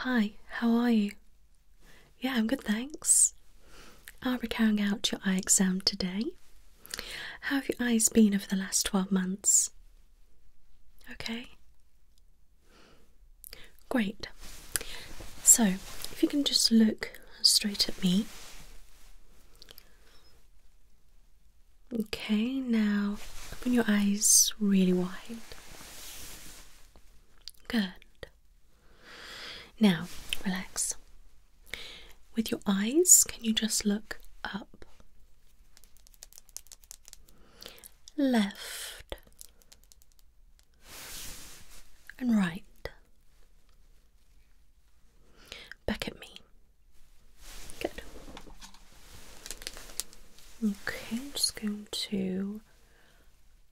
Hi, how are you? Yeah, I'm good, thanks. Are we carrying out your eye exam today. How have your eyes been over the last 12 months? Okay. Great. So, if you can just look straight at me. Okay, now open your eyes really wide. Good. Now, relax. With your eyes, can you just look up? Left and right. Back at me. Good. Okay, I'm just going to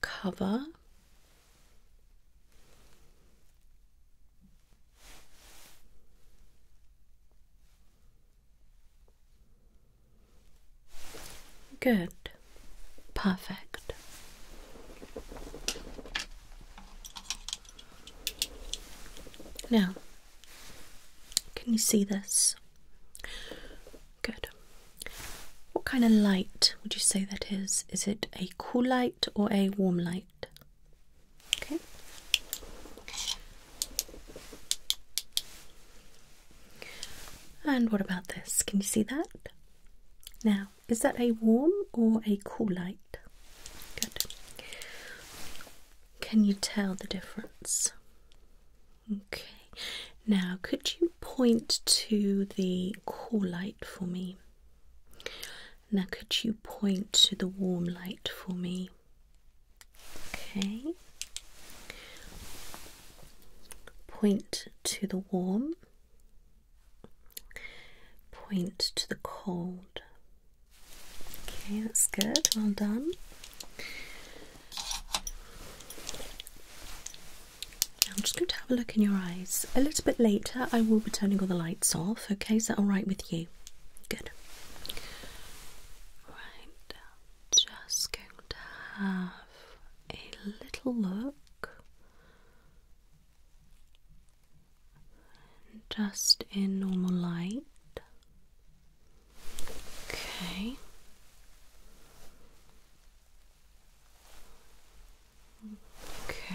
cover Good. Perfect. Now, can you see this? Good. What kind of light would you say that is? Is it a cool light or a warm light? Okay. And what about this? Can you see that? Now, is that a warm or a cool light? Good. Can you tell the difference? Okay. Now, could you point to the cool light for me? Now, could you point to the warm light for me? Okay. Point to the warm. Point to the cold. Okay, that's good. Well done. I'm just going to have a look in your eyes. A little bit later, I will be turning all the lights off. Okay, is that all right with you? good. Right, just going to have a little look just in normal light. Okay. Okay.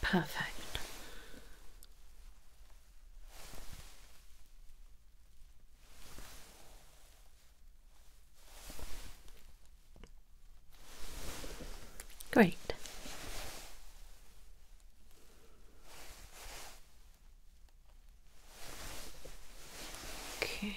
Perfect. Great. Okay.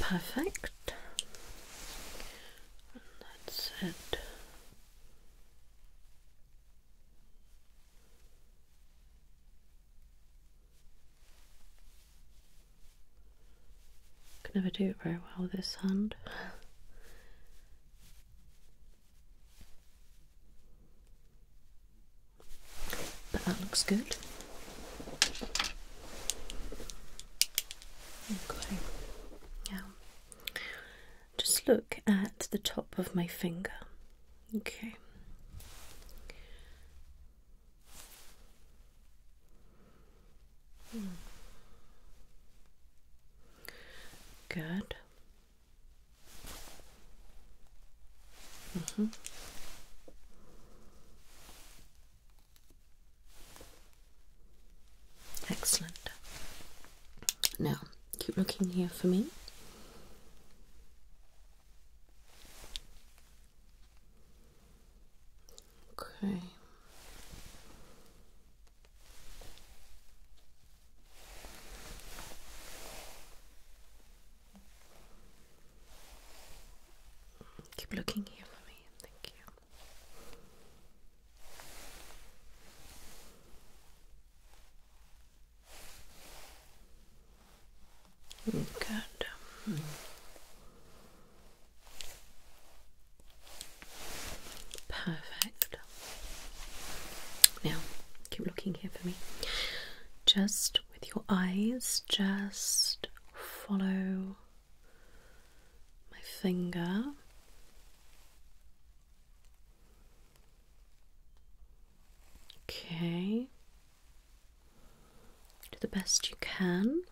Perfect. And that's it. Can never do it very well with this hand. But that looks good. Okay. Now, just look at the top of my finger. Okay. Hmm. Good. Mm-hmm. Excellent. Now, keep looking here for me. Okay. Keep looking here for me. Thank you. Good. Perfect. Now, keep looking here for me. Just with your eyes, just follow my finger. Okay, do the best you can.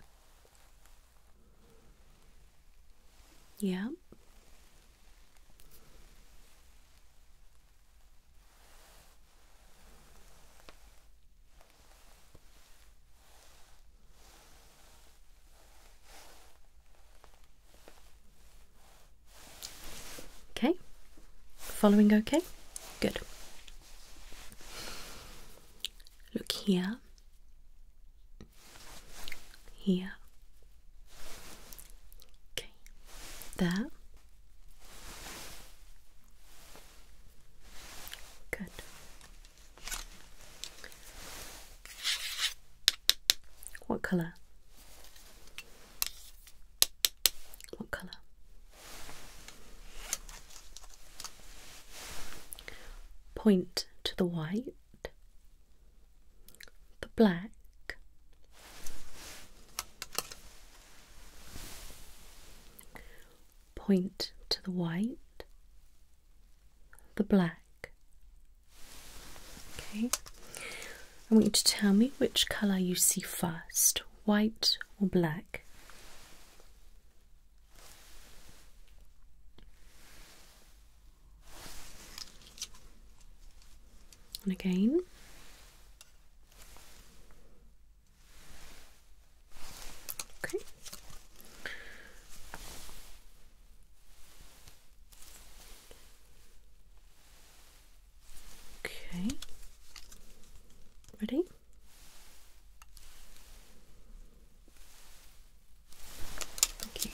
Yep. Okay, following okay? Good. Look here, here. Okay, there. Good. What colour? What colour? Point to the white, the black, Point to the white, the black. Okay, I want you to tell me which colour you see first white or black. And again, Okay. Okay. Ready? Thank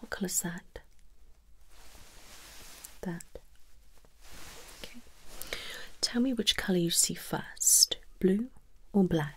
what colour is that? That. Okay. Tell me which colour you see first blue or black?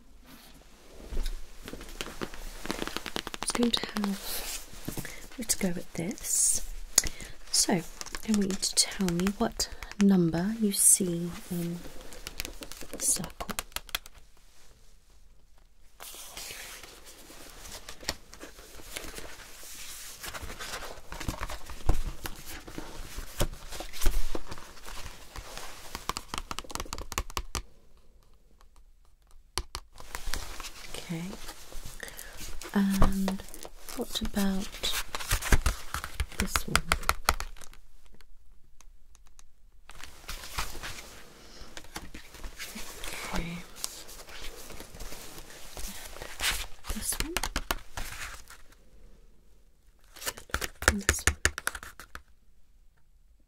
It's going to have. Let's go with this. So, I want you to tell me what number you see in the circle. Okay. And what about this one? this one. this one.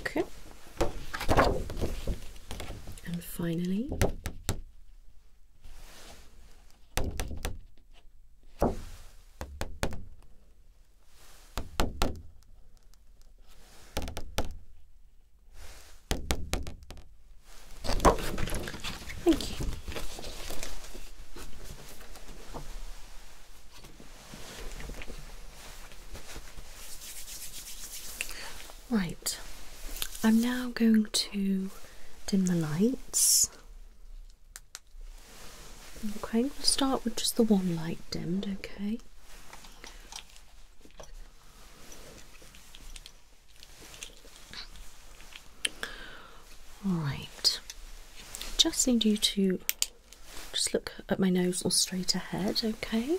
Okay. And finally, Thank you. Right, I'm now going to dim the lights. Okay, going to start with just the one light dimmed, okay? Alright, just need you to just look at my nose or straight ahead, okay?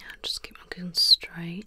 Now just keep looking straight.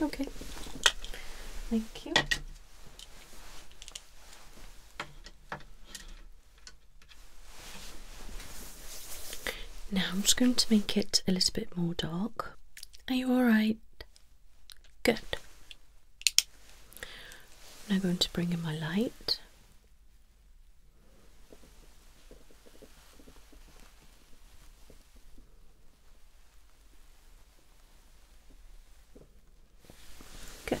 Okay. Thank you. Now I'm just going to make it a little bit more dark. Are you alright? Good. I'm now going to bring in my light. Good.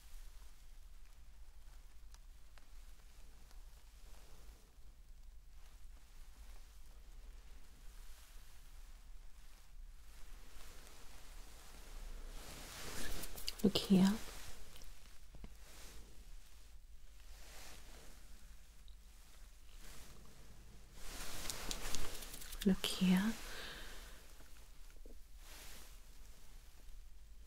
Look here. Look here.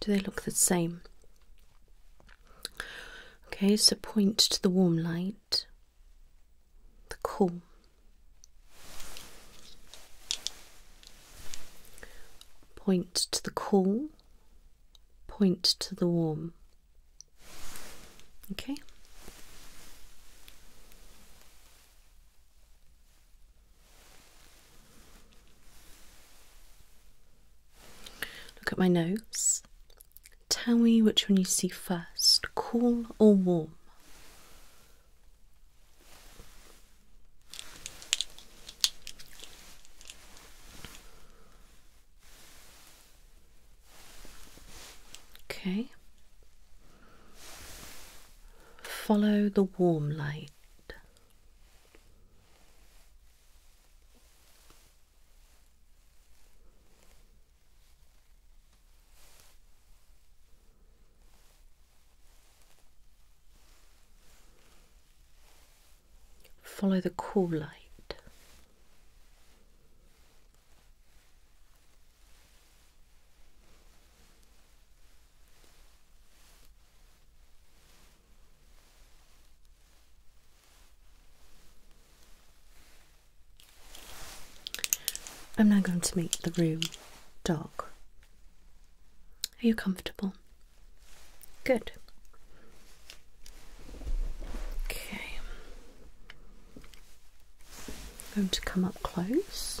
Do they look the same? Okay, so point to the warm light, the cool. Point to the cool, point to the warm. Okay. Look at my nose. Tell me which one you see first cool or warm? Okay. Follow the warm light. Follow the cool light. I'm now going to make the room dark. Are you comfortable? Good. Okay. going to come up close.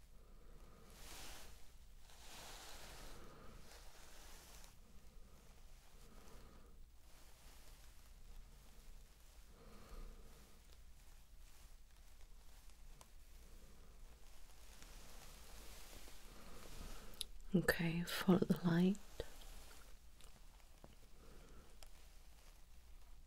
Okay, follow the light.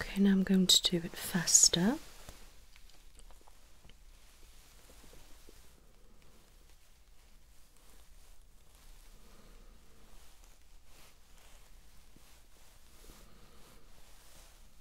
Okay, now I'm going to do it faster.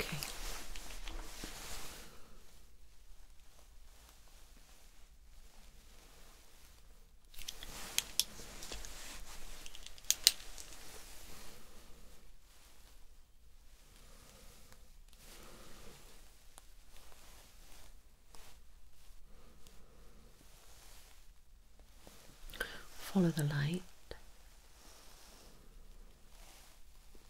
Okay. Follow the light.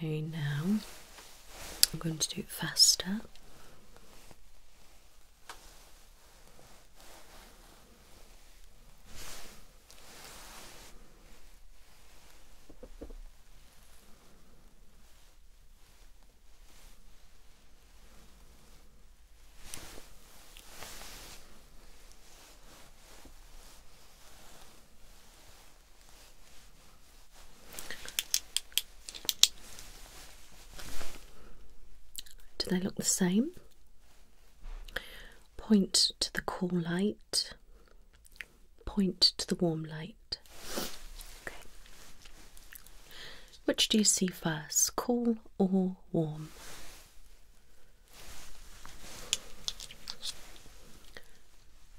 Okay, now I'm going to do it faster. Do they look the same? Point to the cool light, point to the warm light. Okay. Which do you see first, cool or warm?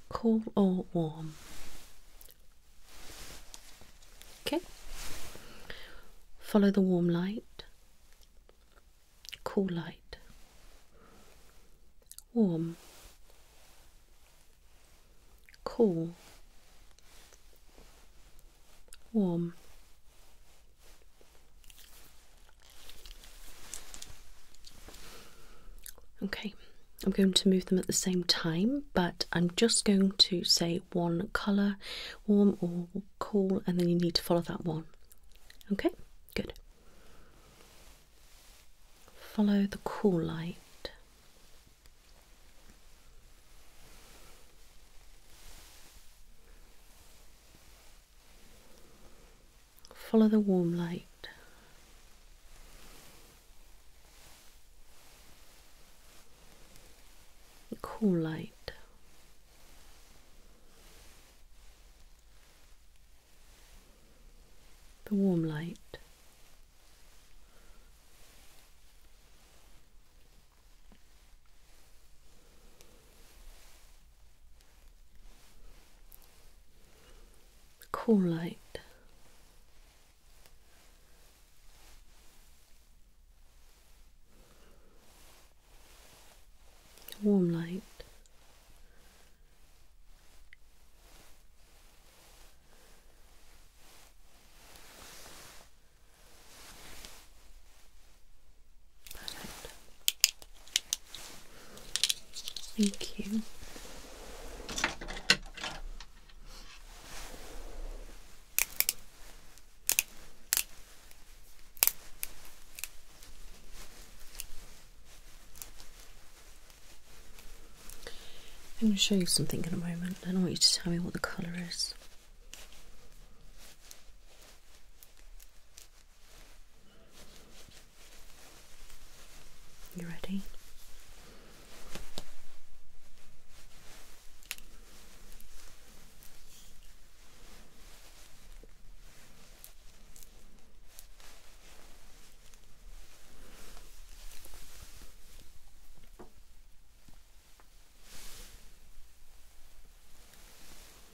Cool or warm? Okay. Follow the warm light. Cool light. Warm. Cool. Warm. Okay, I'm going to move them at the same time, but I'm just going to say one colour, warm or cool, and then you need to follow that one. Okay, good. Follow the cool light. Follow the warm light. The cool light. The warm light. Cool light. Warm light. Perfect. Thank you. I'm going to show you something in a moment, and I want you to tell me what the colour is. You ready?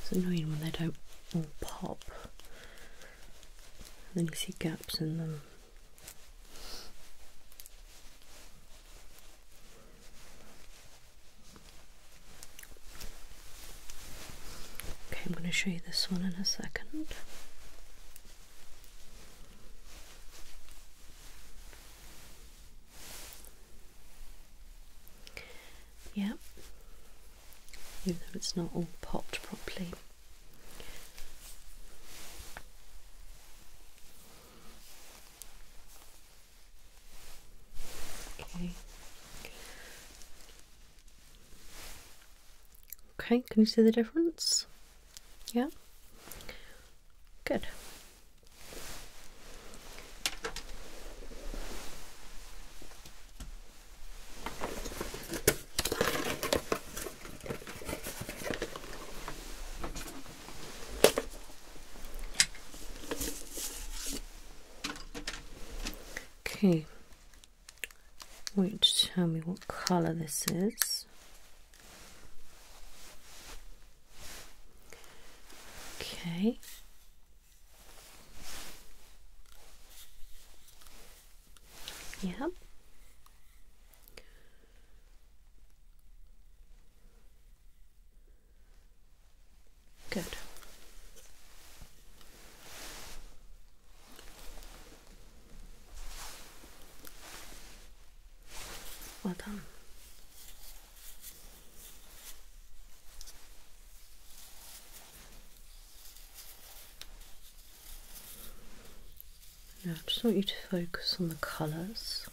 It's annoying when they don't all pop. And then you see gaps in them. Okay, I'm going to show you this one in a second. Yeah, even though it's not all popped properly. Okay. Okay, can you see the difference? Yeah. Good. Okay, wait to tell me what color this is. Okay, Yep. Good. Well done. I just want you to focus on the colours.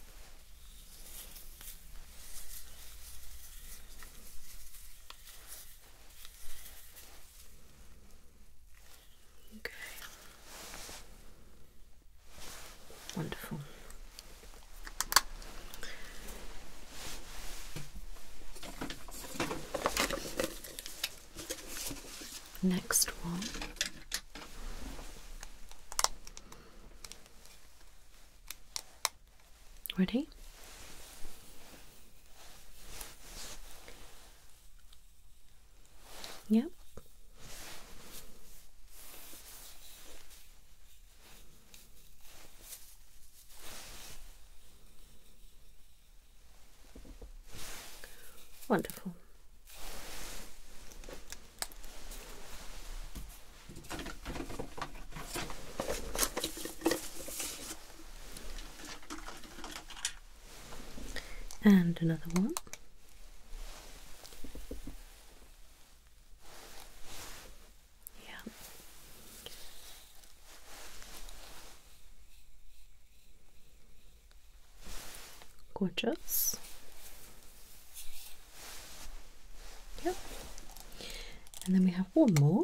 Okay. Wonderful. Next one. Ready? Yep. Wonderful. And another one. Yeah. Gorgeous. Yep. And then we have one more.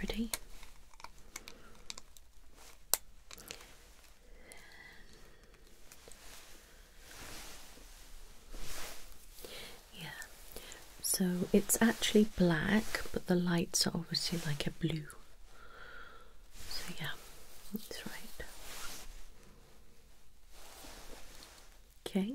Ready? Yeah, so it's actually black, but the lights are obviously like a blue. So, yeah, that's right. Okay,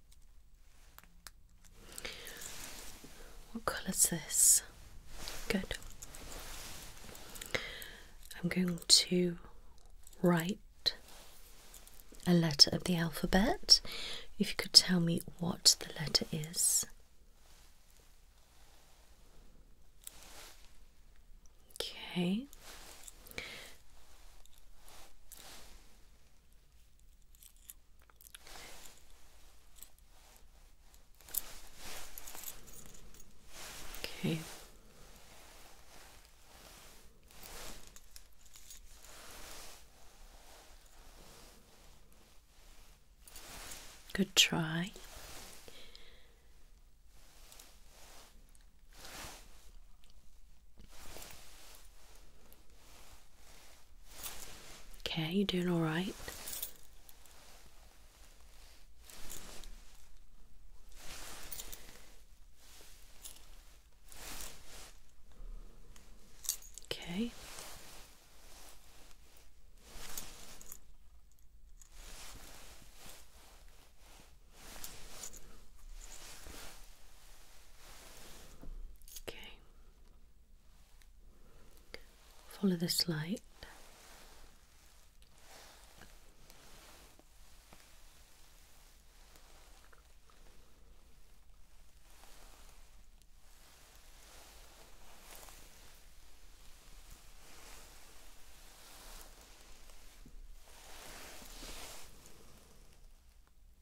What colour is this? Good. I'm going to write a letter of the alphabet. If you could tell me what the letter is. Okay. Okay. Good try. Okay, you doing all right? Okay. Okay. Follow this light.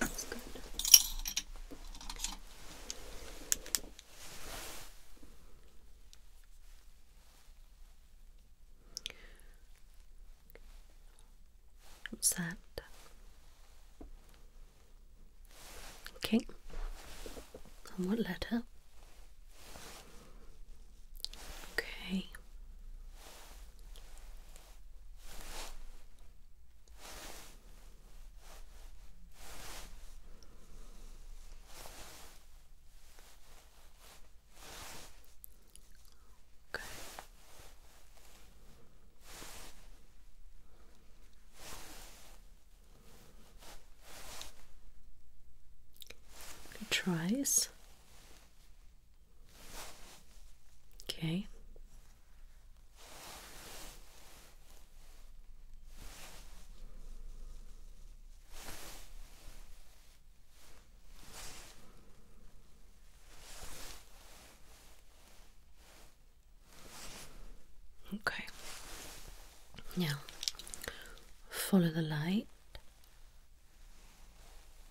that's good. What's that? Okay. And what letter? Okay. Okay. Good tries. Okay. Okay. Now follow the light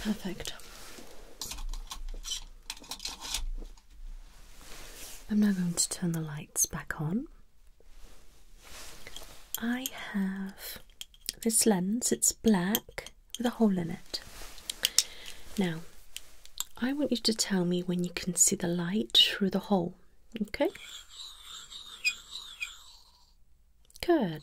Perfect. I'm now going to turn the lights back on. I have this lens, it's black with a hole in it. Now, I want you to tell me when you can see the light through the hole, okay? Good.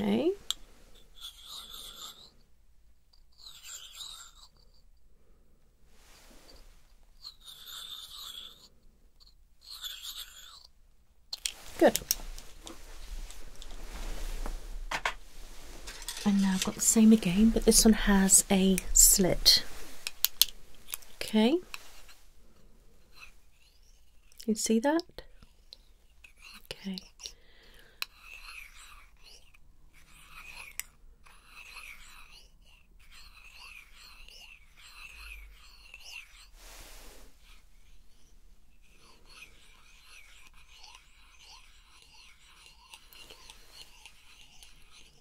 Okay. Good. And now I've got the same again, but this one has a slit. Okay. You see that? Okay.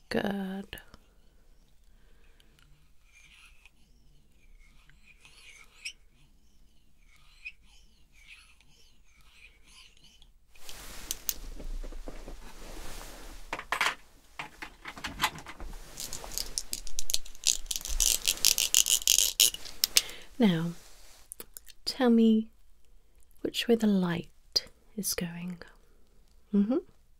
Good. Now, tell me which way the light is going. hmm.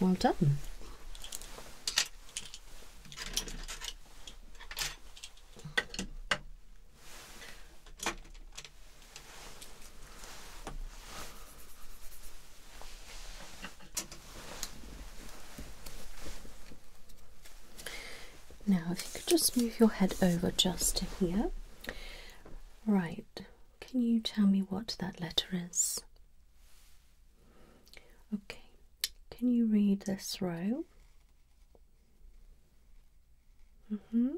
Well done. Now, if you could just move your head over just to here. Right, can you tell me what that letter is? Okay, can you read this row? Mm hmm.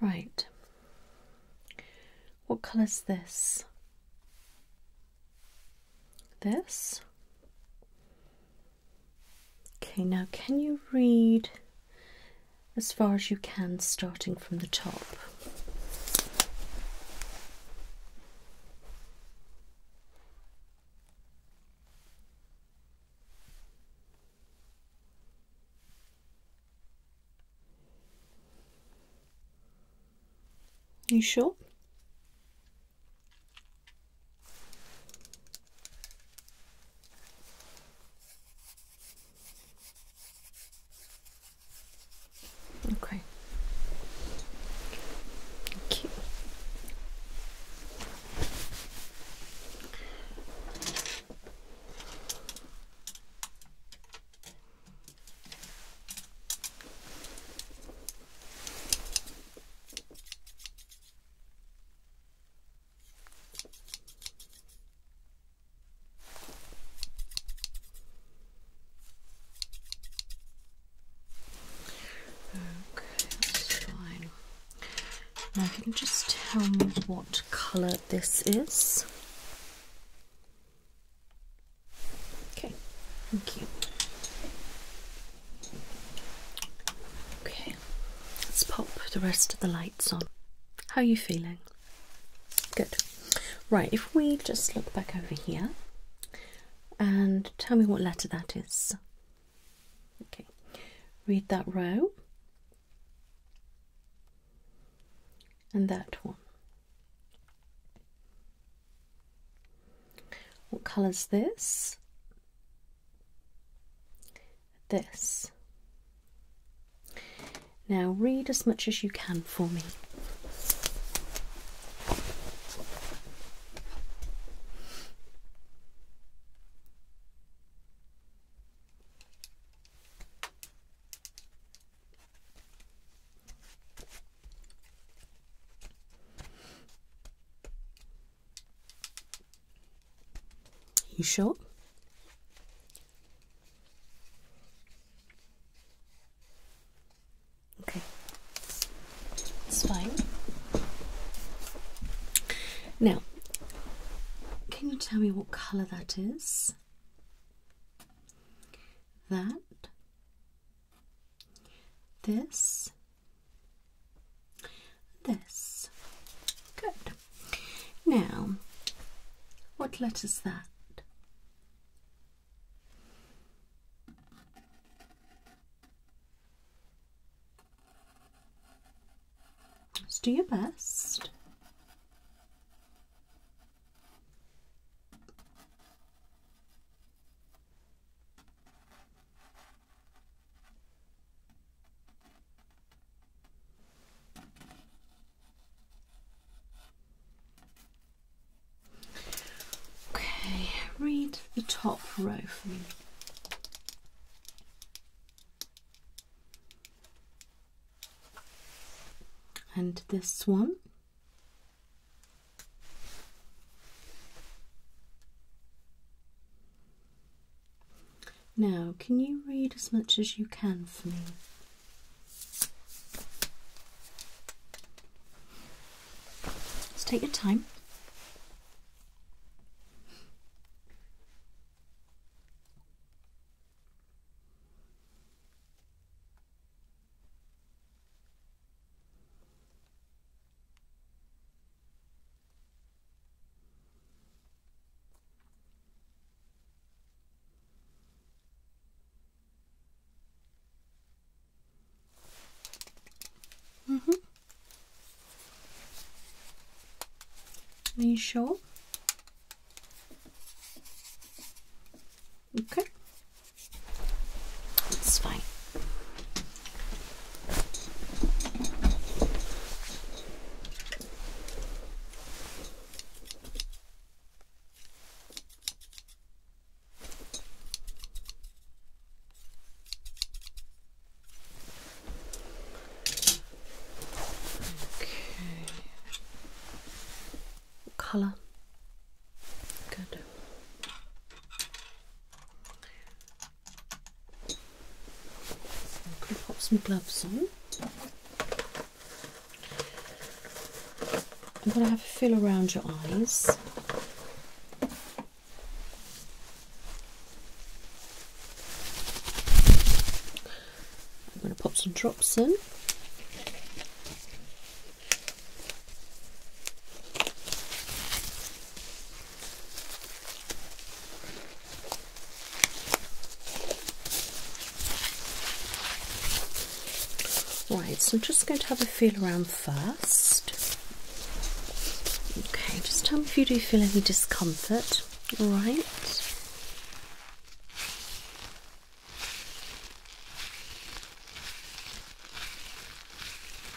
Right. What colour's this? This? Okay, now can you read as far as you can, starting from the top? You sure? Okay. Thank Okay, that's fine. Now, can you just tell me what colour this is? Okay, thank you. Okay, let's pop the rest of the lights on. How are you feeling? Good. Right, if we just look back over here and tell me what letter that is. Okay, read that row and that one. What colour's this? This. Now read as much as you can for me. You sure? Okay, it's fine. Now, can you tell me what colour that is? That this, this. Good. Now, what letter's that? Let's do your best. Okay, read the top row for me. And this one. Now, can you read as much as you can for me? Let's take your time. Mm -hmm. Are you sure? Okay, it's fine. Color. Good. I'm gonna pop some gloves on. I'm going to have a feel around your eyes. I'm going to pop some drops in. Right, so I'm just going to have a feel around first. Okay, just tell me if you do feel any discomfort. All right.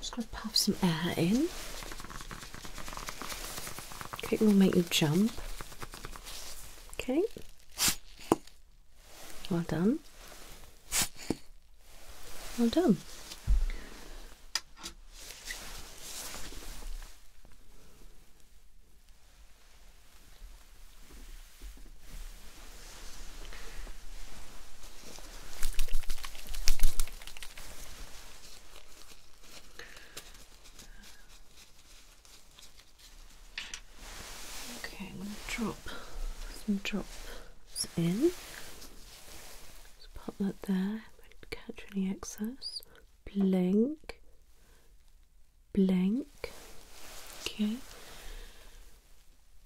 Just going to puff some air in. Okay, we will make you jump. Okay. Well done. Well done. Okay, I'm going to drop some drops in. Just pop that there, don't catch any excess. Blink, blank, okay,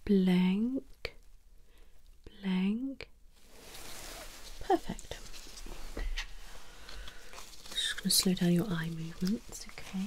blank, blank. Perfect. Just going to slow down your eye movements, okay.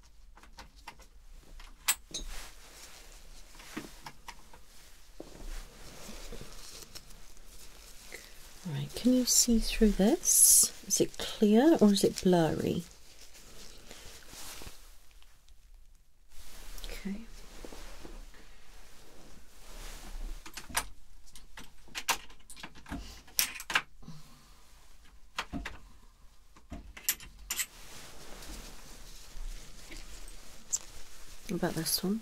Right, can you see through this? Is it clear or is it blurry? Okay. What about this one?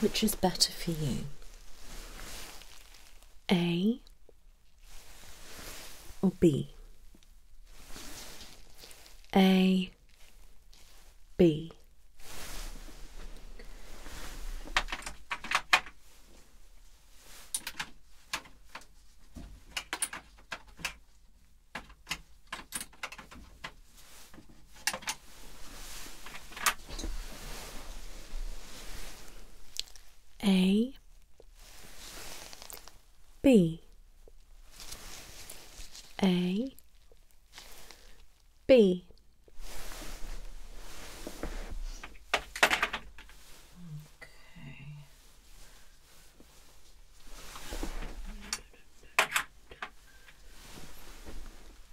Which is better for you? A or B? A, B. A B A B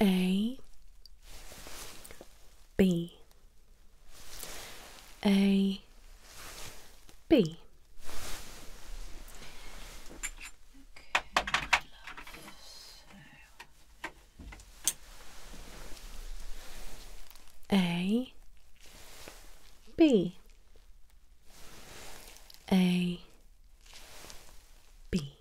A. B. A. B. A. B. A. B.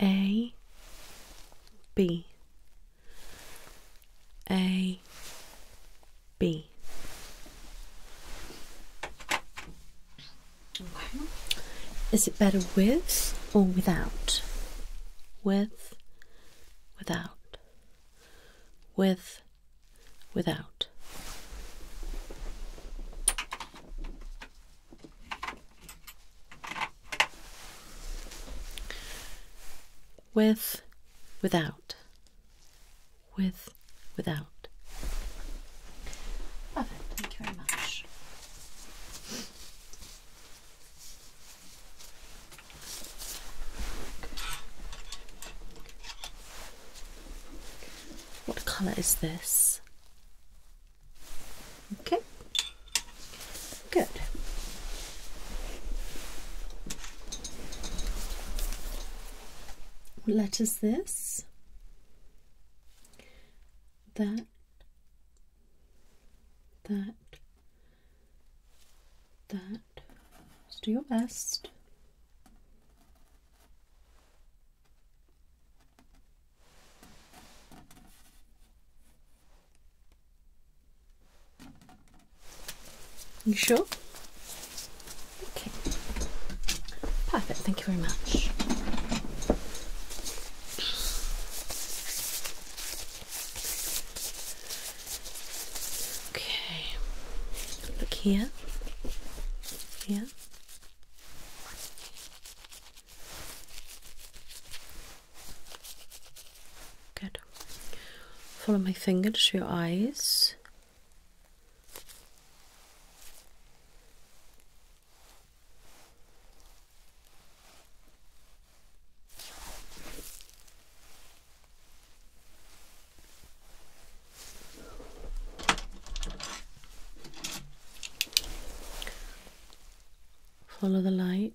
A. B. A B. Okay. Is it better with or without? With, without, with, without. With, without. With, without. What colour is this? Okay. Good. What letter this? That, that, that. Just do your best. You sure? Okay. Perfect, thank you very much. Okay. Look here. Here. Good. Follow my finger to your eyes. Follow the light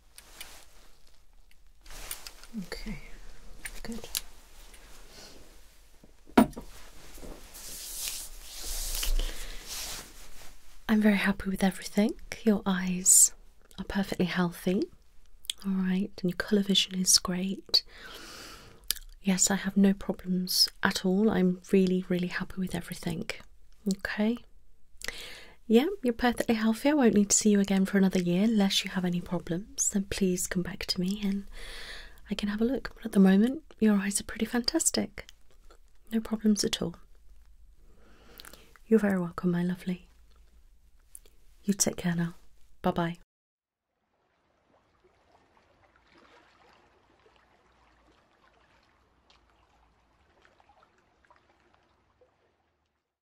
Okay, good. I'm very happy with everything. Your eyes are perfectly healthy, all right, and your colour vision is great. Yes, I have no problems at all. I'm really, really happy with everything. Okay. Yeah, you're perfectly healthy. I won't need to see you again for another year unless you have any problems. Then please come back to me and I can have a look. But at the moment, your eyes are pretty fantastic. No problems at all. You're very welcome, my lovely. You take care now. Bye bye.